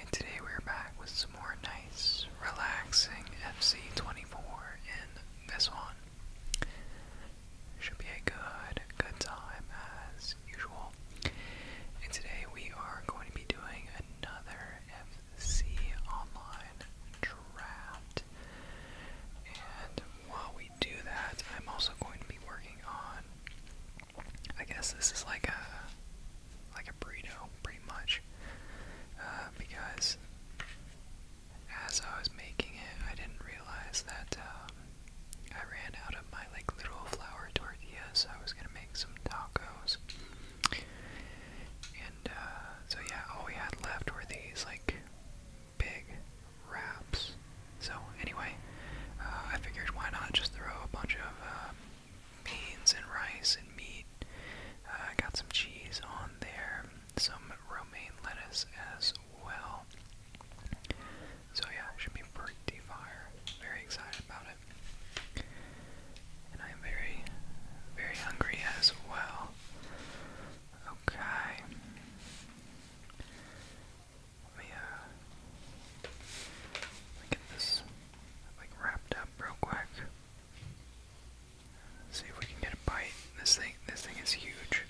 And today we're back with some more nice, relaxing FC24 in this one. Should be a good, good time as usual. And today we are going to be doing another FC Online draft. And while we do that, I'm also going to be working on I guess this is like a like a burrito, pretty much, uh, because as I was making it, I didn't realize that um, I ran out of my like little flour tortillas. I was gonna make some tacos, and uh, so yeah, all we had left were these like big wraps. So anyway, uh, I figured why not just throw a bunch of um, beans and rice and meat. Uh, I got some cheese on there, some romaine lettuce as well. So yeah, should be pretty fire. Very excited about it. And I'm very, very hungry as well. Okay. Let me, uh, let me this like wrapped up real quick. see if we can get a bite. This thing this thing is huge.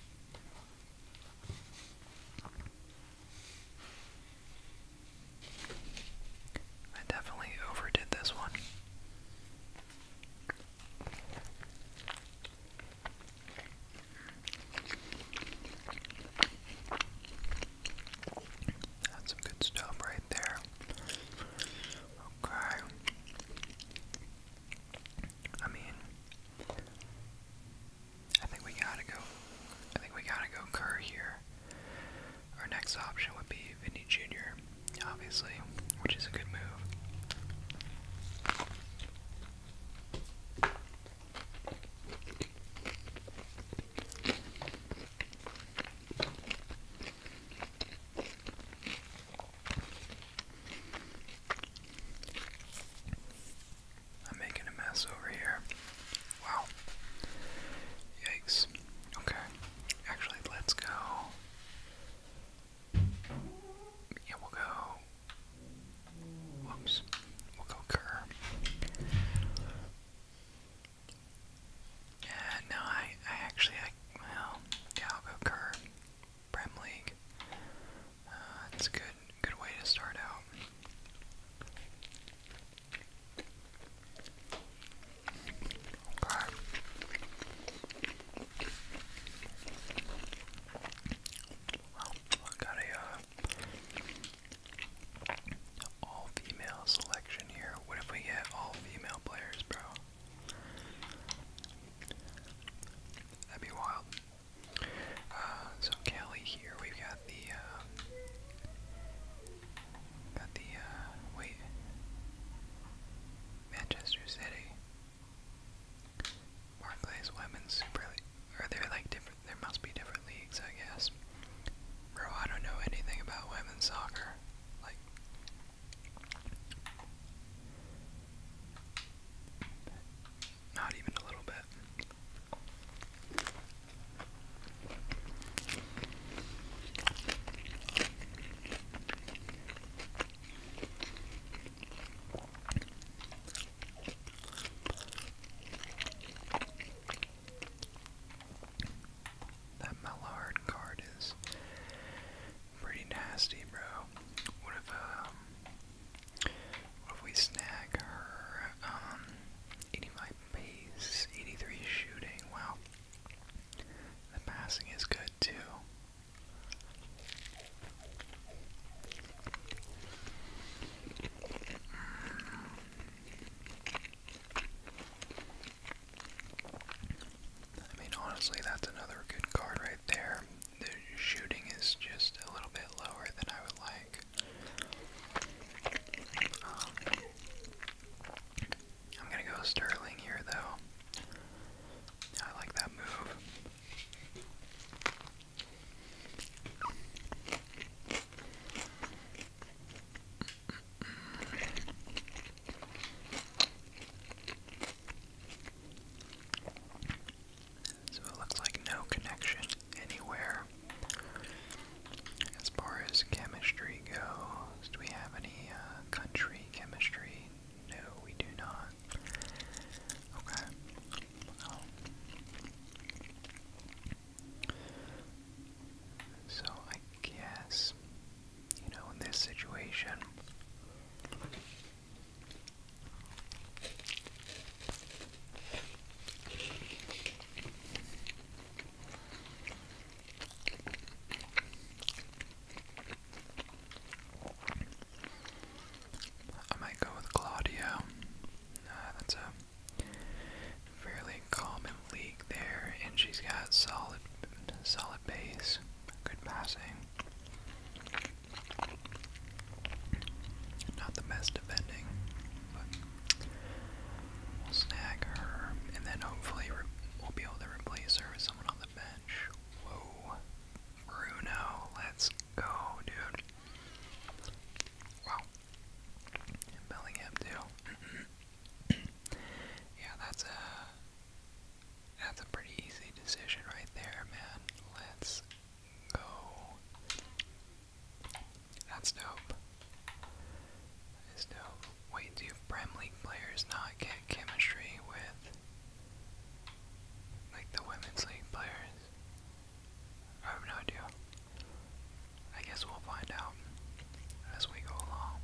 I definitely overdid this one. That's some good stuff right there. Okay. I mean, I think we gotta go. I think we gotta go Kerr here. Our next option would be Vinny Jr., obviously, which is a good move. I'm making a mess over here. Wow. Yikes. Okay. Actually, let's go. Yeah, we'll go. Whoops. We'll go Kerr. Uh, no, I, I actually, I, well, yeah, I'll League. it's uh, a good, good way to start out. Okay. Well, got a, uh, all female selection here. What if we get all female players, bro? That'd be wild. Uh, so Kelly here, we've got the, uh, got the, uh, wait, Manchester City, Barclays Women's Super League, or they're like different, there must be different leagues, I guess. Bro, I don't know anything about women's soccer. Like, not even a little bit. That Mallard card is pretty nasty, bro. What if um what if we snag her um 85 pace, 83 shooting, wow. The passing is good too. I mean, honestly, that's another good card right there. The shooting is just a little bit lower than I would like. I'm gonna go Sterling here, though. I like that move. So it looks like no connection anywhere. As far as chemistry goes, do we have any uh, country chemistry? No, we do not. Okay. So I guess, you know, in this situation, I might go with Claudio. Uh, that's a fairly common league there, and she's got solid, solid base, good passing. Not the best defending, but we'll snag her, and then hopefully we'll be able to replace her with someone on the bench. Whoa, Bruno, let's go, dude! Wow, and too. yeah, that's a that's a pretty easy decision right there, man. Let's go. That's dope. That is dope. Wait, do Prem League players not get chemistry with like the women's league players? I have no idea. I guess we'll find out as we go along.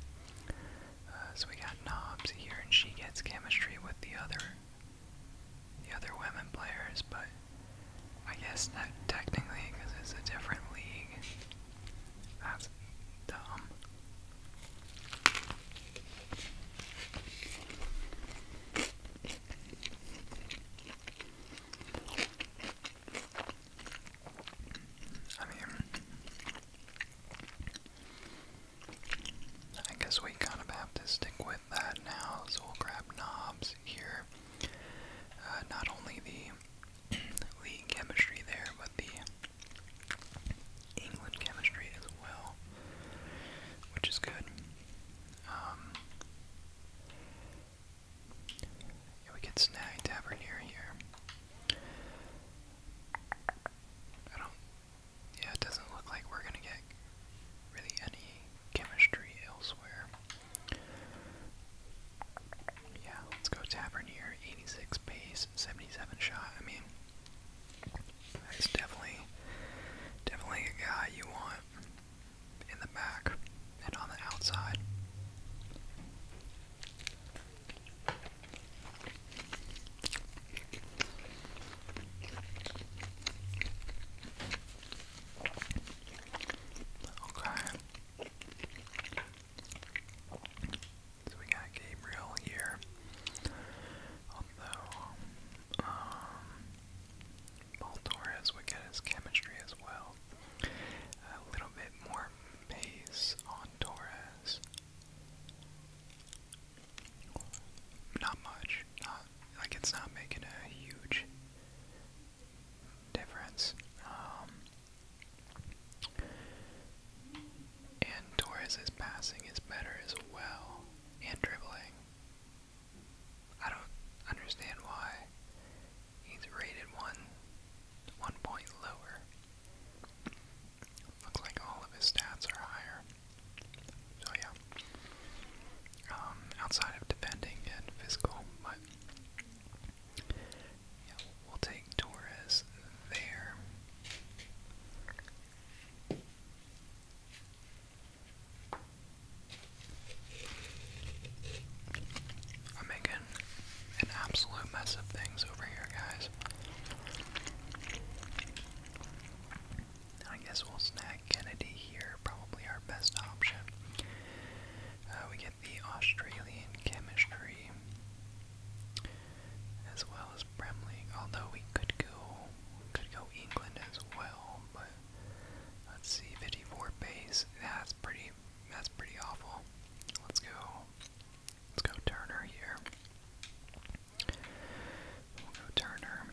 Uh, so we got Knobs here, and she gets chemistry with the other, the other women players, but I guess technically because it's a different league. That's dumb. I mean, I guess we kind of have to stick with that now, so we'll grab knobs here. Uh, not only the the chemistry there, but the England chemistry as well, which is good. Um, yeah, we get Snag Tavern here. I don't. Yeah, it doesn't look like we're gonna get really any chemistry elsewhere. Yeah, let's go Tavernier, 86 pace, 77 shot. I mean, that's definitely, definitely a guy you want in the back and on the outside. Okay. So we got Gabriel here. Although, um, would get his chemistry as well. A little bit more Pace on Torres. Not much. Not like it's not making a huge difference. Um, and Torres's passing is better as well, and dribbling. I don't understand why He's rated one, one point lower. Looks like all of his stats are higher. So yeah. Um, outside of defending and physical, but yeah, we'll take Torres there. I'm making an absolute mess of things over here, guys. I guess we'll snag Kennedy here, probably our best option. Uh, we get the Australian chemistry as well as Bremley, although we could go could go England as well, but let's see, 54 base. That's pretty that's pretty awful. Let's go Let's go Turner here. We'll go Turner.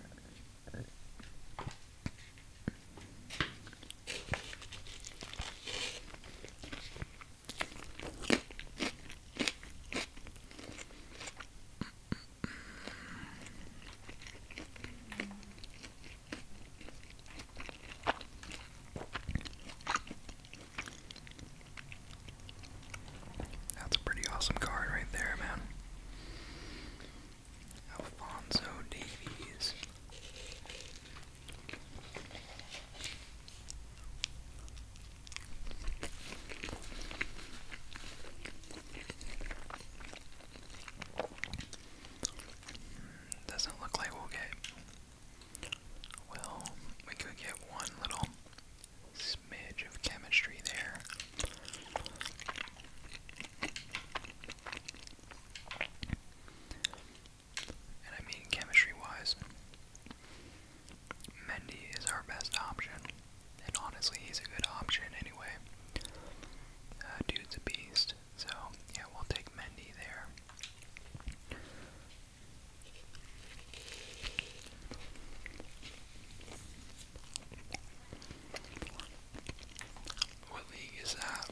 That's a pretty awesome card right there, man. Alfonso Davies. Hmm, doesn't look like we'll get well, we could get one little smidge of chemistry there. And I mean, chemistry wise, Mendy is our best option. And honestly, he's a good option anyway. Uh, dude's a beast. So, yeah, we'll take Mendy there. What league is that?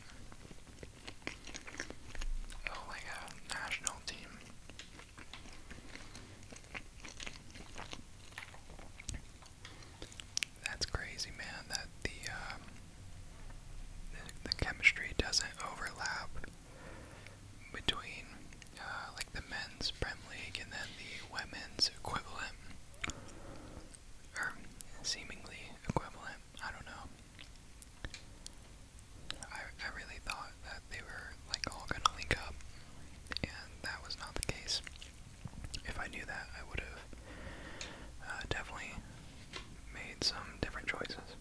Oh, like a national team. That's crazy, man. That the um, the chemistry doesn't overlap between uh, like the men's Prem League and then the women's equivalent, or seemingly equivalent. I don't know. I, really thought that they were like all gonna link up, and that was not the case. If I knew that, I would have uh, definitely made some different choices.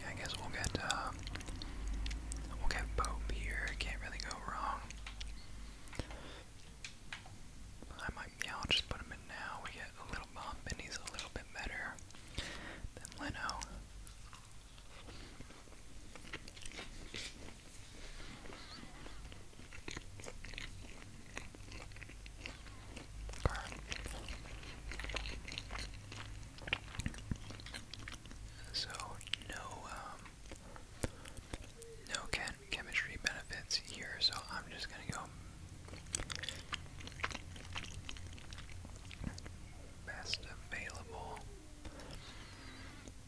Yeah, I guess we'll get uh, we'll get Pope here. Can't really go wrong. I might, yeah, I'll just put him in now. We get a little bump, and he's a little bit better than Leno. So no, um, no Ken chemistry benefits here, so I'm just gonna go best available.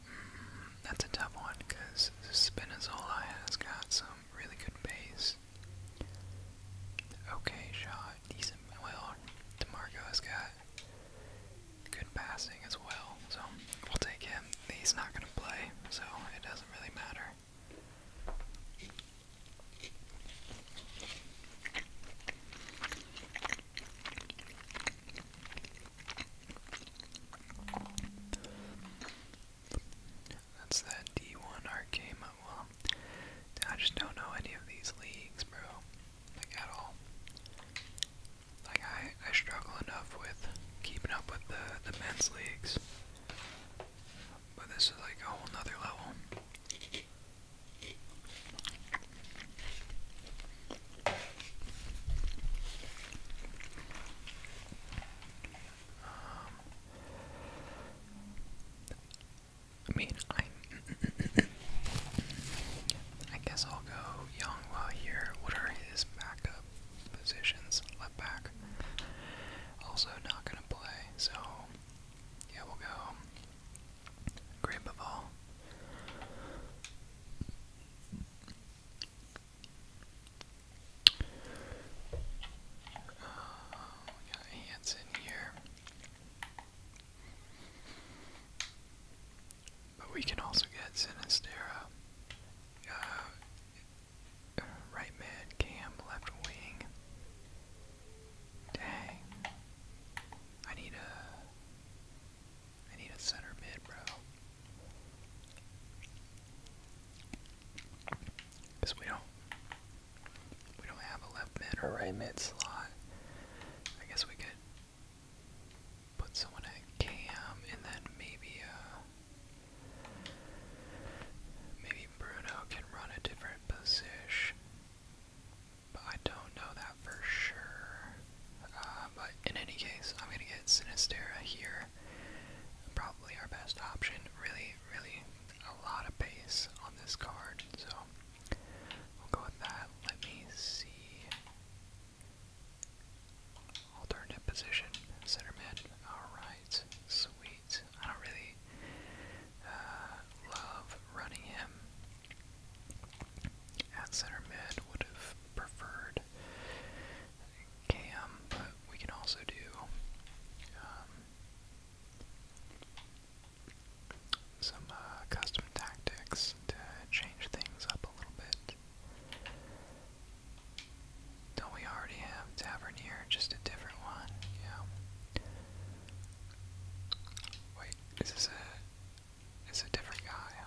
Mm, that's a tough one because Spinazzola has got some really good base. Okay, shot, decent. Well, DeMarco has got good passing as well, so we'll take him. He's not going to play, so it doesn't really matter. That's that D1 arcade. Well, I just don't know any of these leagues, bro. Like, at all. Like, I, I struggle enough with keeping up with the, the men's leagues. But this is like a whole other level. Um, I mean, I, I guess I'll go Yongwa here. What are his backups? positions, left back. Also not going to play, so yeah, we'll go Great Ball. we uh, got Hanson here. But we can also get Sinistera. Uh, right mid, Cam, left wing. Dang. I need a I need a center mid, bro. Cause we don't we don't have a left mid or right mid slot. I guess we could put someone at Cam and then maybe uh Maybe Bruno can run a different position, but I don't know that for sure. Uh, but in any case, I'm gonna get Sinistera here. Probably our best option. Really, really a lot of base on this card, so we'll go with that. Let me see. Alternate position, center mid. Alright, sweet. I don't really uh, love running him at center mid. Would have preferred Cam, but we can also do um, some uh, custom tactics to change things up a little bit. Don't we already have Tavernier? Just a different one, yeah. Wait, is this a is a different guy? Huh?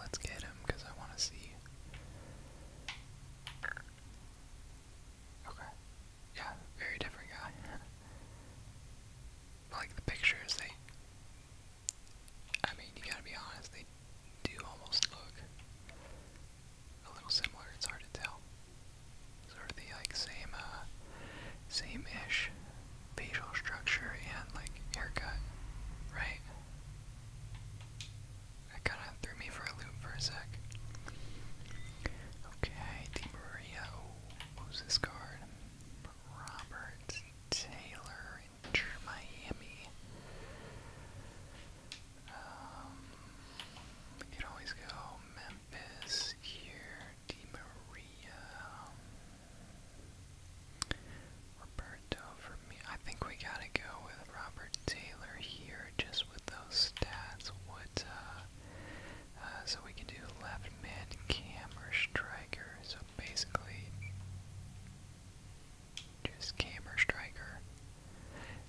let's get him because I want to see. Okay. Yeah, very different guy. like the pictures, they. I mean, you gotta be honest, they do almost look a little similar. It's hard to tell. Sort of the like same, uh, same-ish facial structure and like haircut, right? That kind of threw me for a loop for a sec. Okay, Di Maria. this card? Robert Taylor injured Miami. Um, we could always go Memphis here, Di Maria, Roberto for me. I think we gotta go with Robert Taylor here, just with those stats. What, uh, uh, so we can do left mid, cam, or striker basically, just camera striker.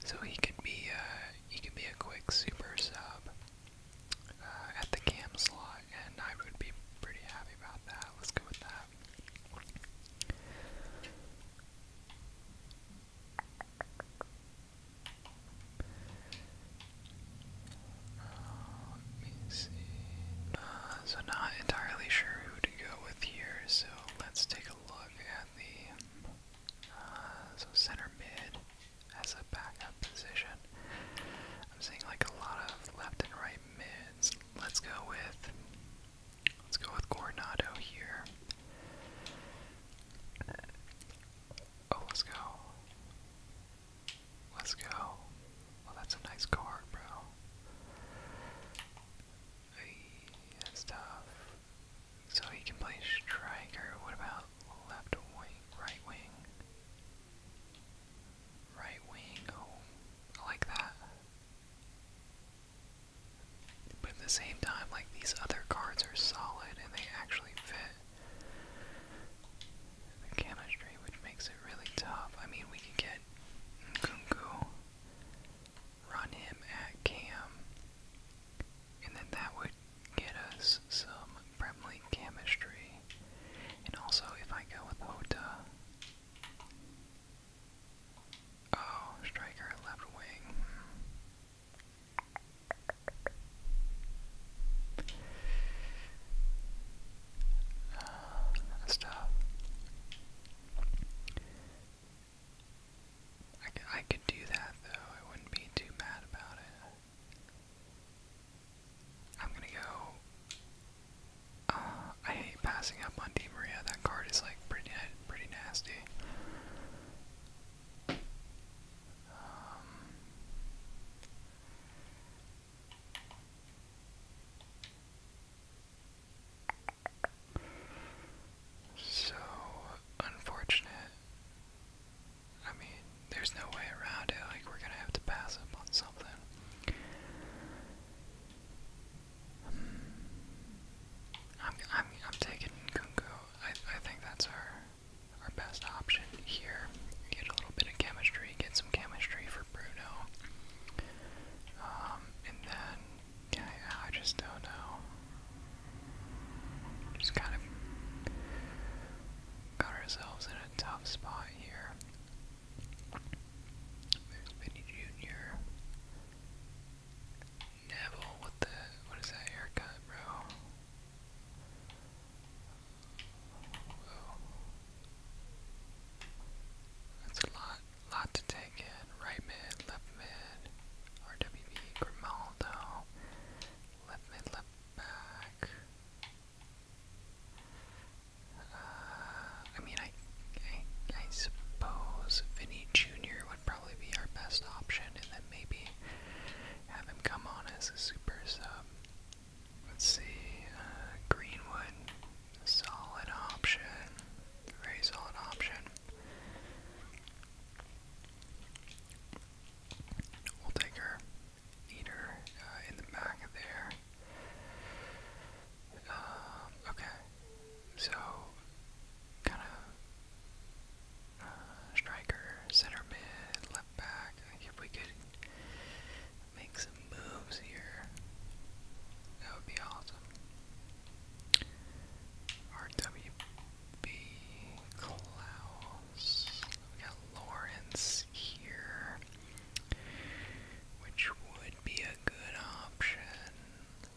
So he could be uh, he could be a quick super sub uh, at the cam slot, and I would be pretty happy about that. Let's go with that let so not entirely sure who to go with here. So let's take a look at the uh, so center mid as a backup position. I'm seeing like a lot of left and right mids. Let's go with let's go with Coronado here. Oh, let's go. Let's go. Well, oh, that's a nice card, bro. Hey, So he can play striker. What about left wing, right wing? Right wing. Oh, like that. But at the same time, like these other cards are solid and they actually fit the chemistry, which makes it really tough. I mean, we can get Nkunku, run him at Cam, and then that would get us some Prem chemistry. And also, if I go with Hota, oh, striker left wing that's tough. I I could do that though. I wouldn't be too mad about it. I'm gonna go. Uh, I hate passing up on Di Maria. That card is like pretty, pretty nasty. Um, so unfortunate. I mean, there's no way around it. Like, we're gonna have to pass up on something. Hmm. I'm, I'm, I'm taking Kunko. I, I think that's our, our best option here. Get a little bit of chemistry, get some chemistry for Bruno. Um, and then, yeah, I just don't know. Just kind of got ourselves in a tough spot here. There's Jr. Neville, what the, what is that haircut, bro? That's a lot, lot to take in. Right mid, left mid, RWB, Grimaldo, left mid, left back. Uh, I mean, I, I suppose Vinny Jr. would probably be our best option, and then maybe have him come on as a super sub. Let's see, uh, Greenwood, solid option, very solid option. We'll take her eater uh, in the back there. Um, okay, so kind of uh, striker, center mid, left back. if we could make some moves here. That would be awesome. RWB Klaus. We got Lawrence here, which would be a good option.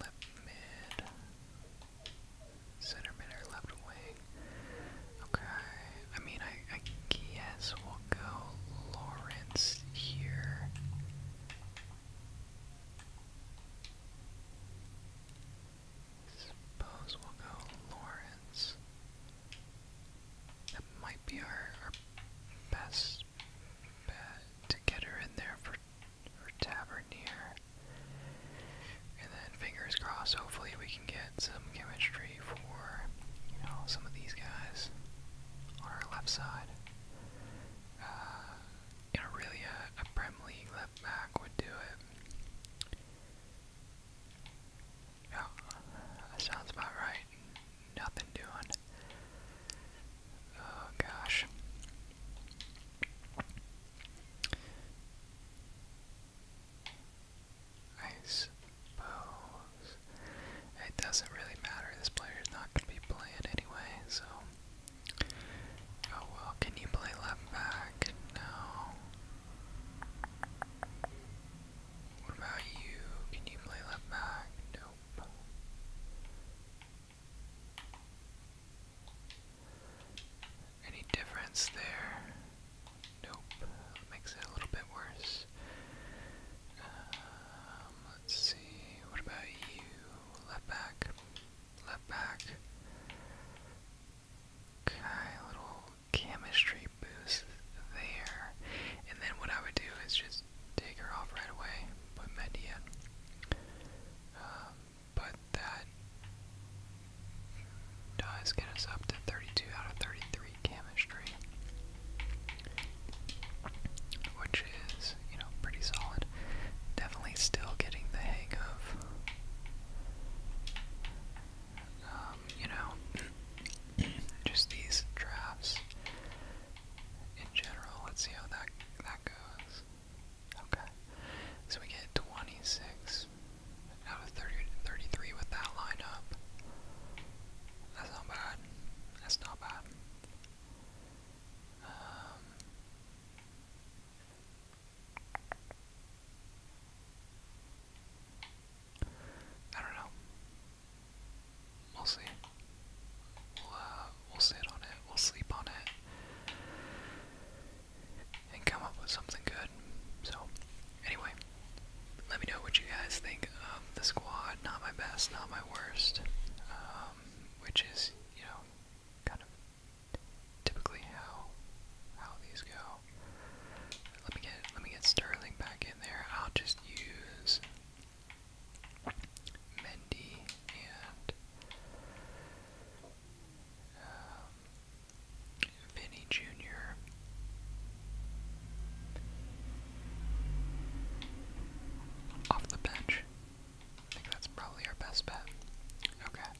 Left mid, center mid, or left wing. Okay. I mean, I I guess we'll go Lawrence here. Suppose we'll go Lawrence. That might be our, best bet to get her in there for her Tavernier. And then fingers crossed, hopefully we can get some chemistry for, you know, some of these guys on our left side. Uh, you know, really a, a League left back would do it. Yeah, sounds about right. Nothing doing. Oh gosh. Nice suppose. It doesn't really matter. This player's not going to be playing anyway, so. Oh well, can you play left back? No. What about you? Can you play left back? Nope. Any difference there? Nope. Makes it a little bit worse. Uh, um, let's see. What about you? Left back. Left back. Okay, little chemistry boost there. And then what I would do is just take her off right away, put Mendy um, but that does get us up to 32 out of 33 chemistry, which is, you know, pretty solid. Definitely still getting the hang of, um, you know, just these drafts in general. Let's see how that that goes. Okay, so we get 26 out of 30, 33 with that lineup. That's not bad. That's not bad. Um, I don't know. We'll see. We'll, uh, we'll sit on it. We'll sleep on it. And come up with something good. So, anyway, let me know what you guys think of the squad. Not my best, not my worst, um, which is you know kind of typically how how these go. Let me get let me get Sterling back in there. I'll just use Mendy and um, Vinny Jr. Off the bench. I think that's probably our best bet. Okay.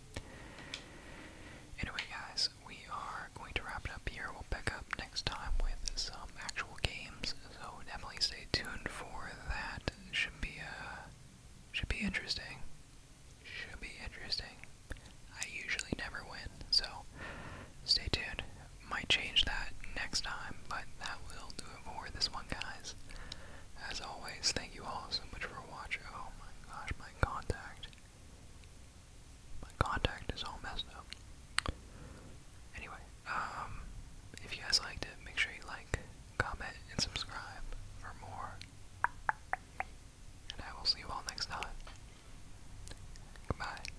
Anyway, guys, we are going to wrap it up here. We'll pick up next time with some actual games, so definitely stay tuned for that. Should be uh, should be interesting. Should be interesting. I usually never win, so stay tuned might change that next time, but that will do it for this one, guys. As always, thank you all so much for watching. Oh my gosh, my contact. My contact is all messed up. Anyway, um, if you guys liked it, make sure you like, comment, and subscribe for more. And I will see you all next time. Goodbye.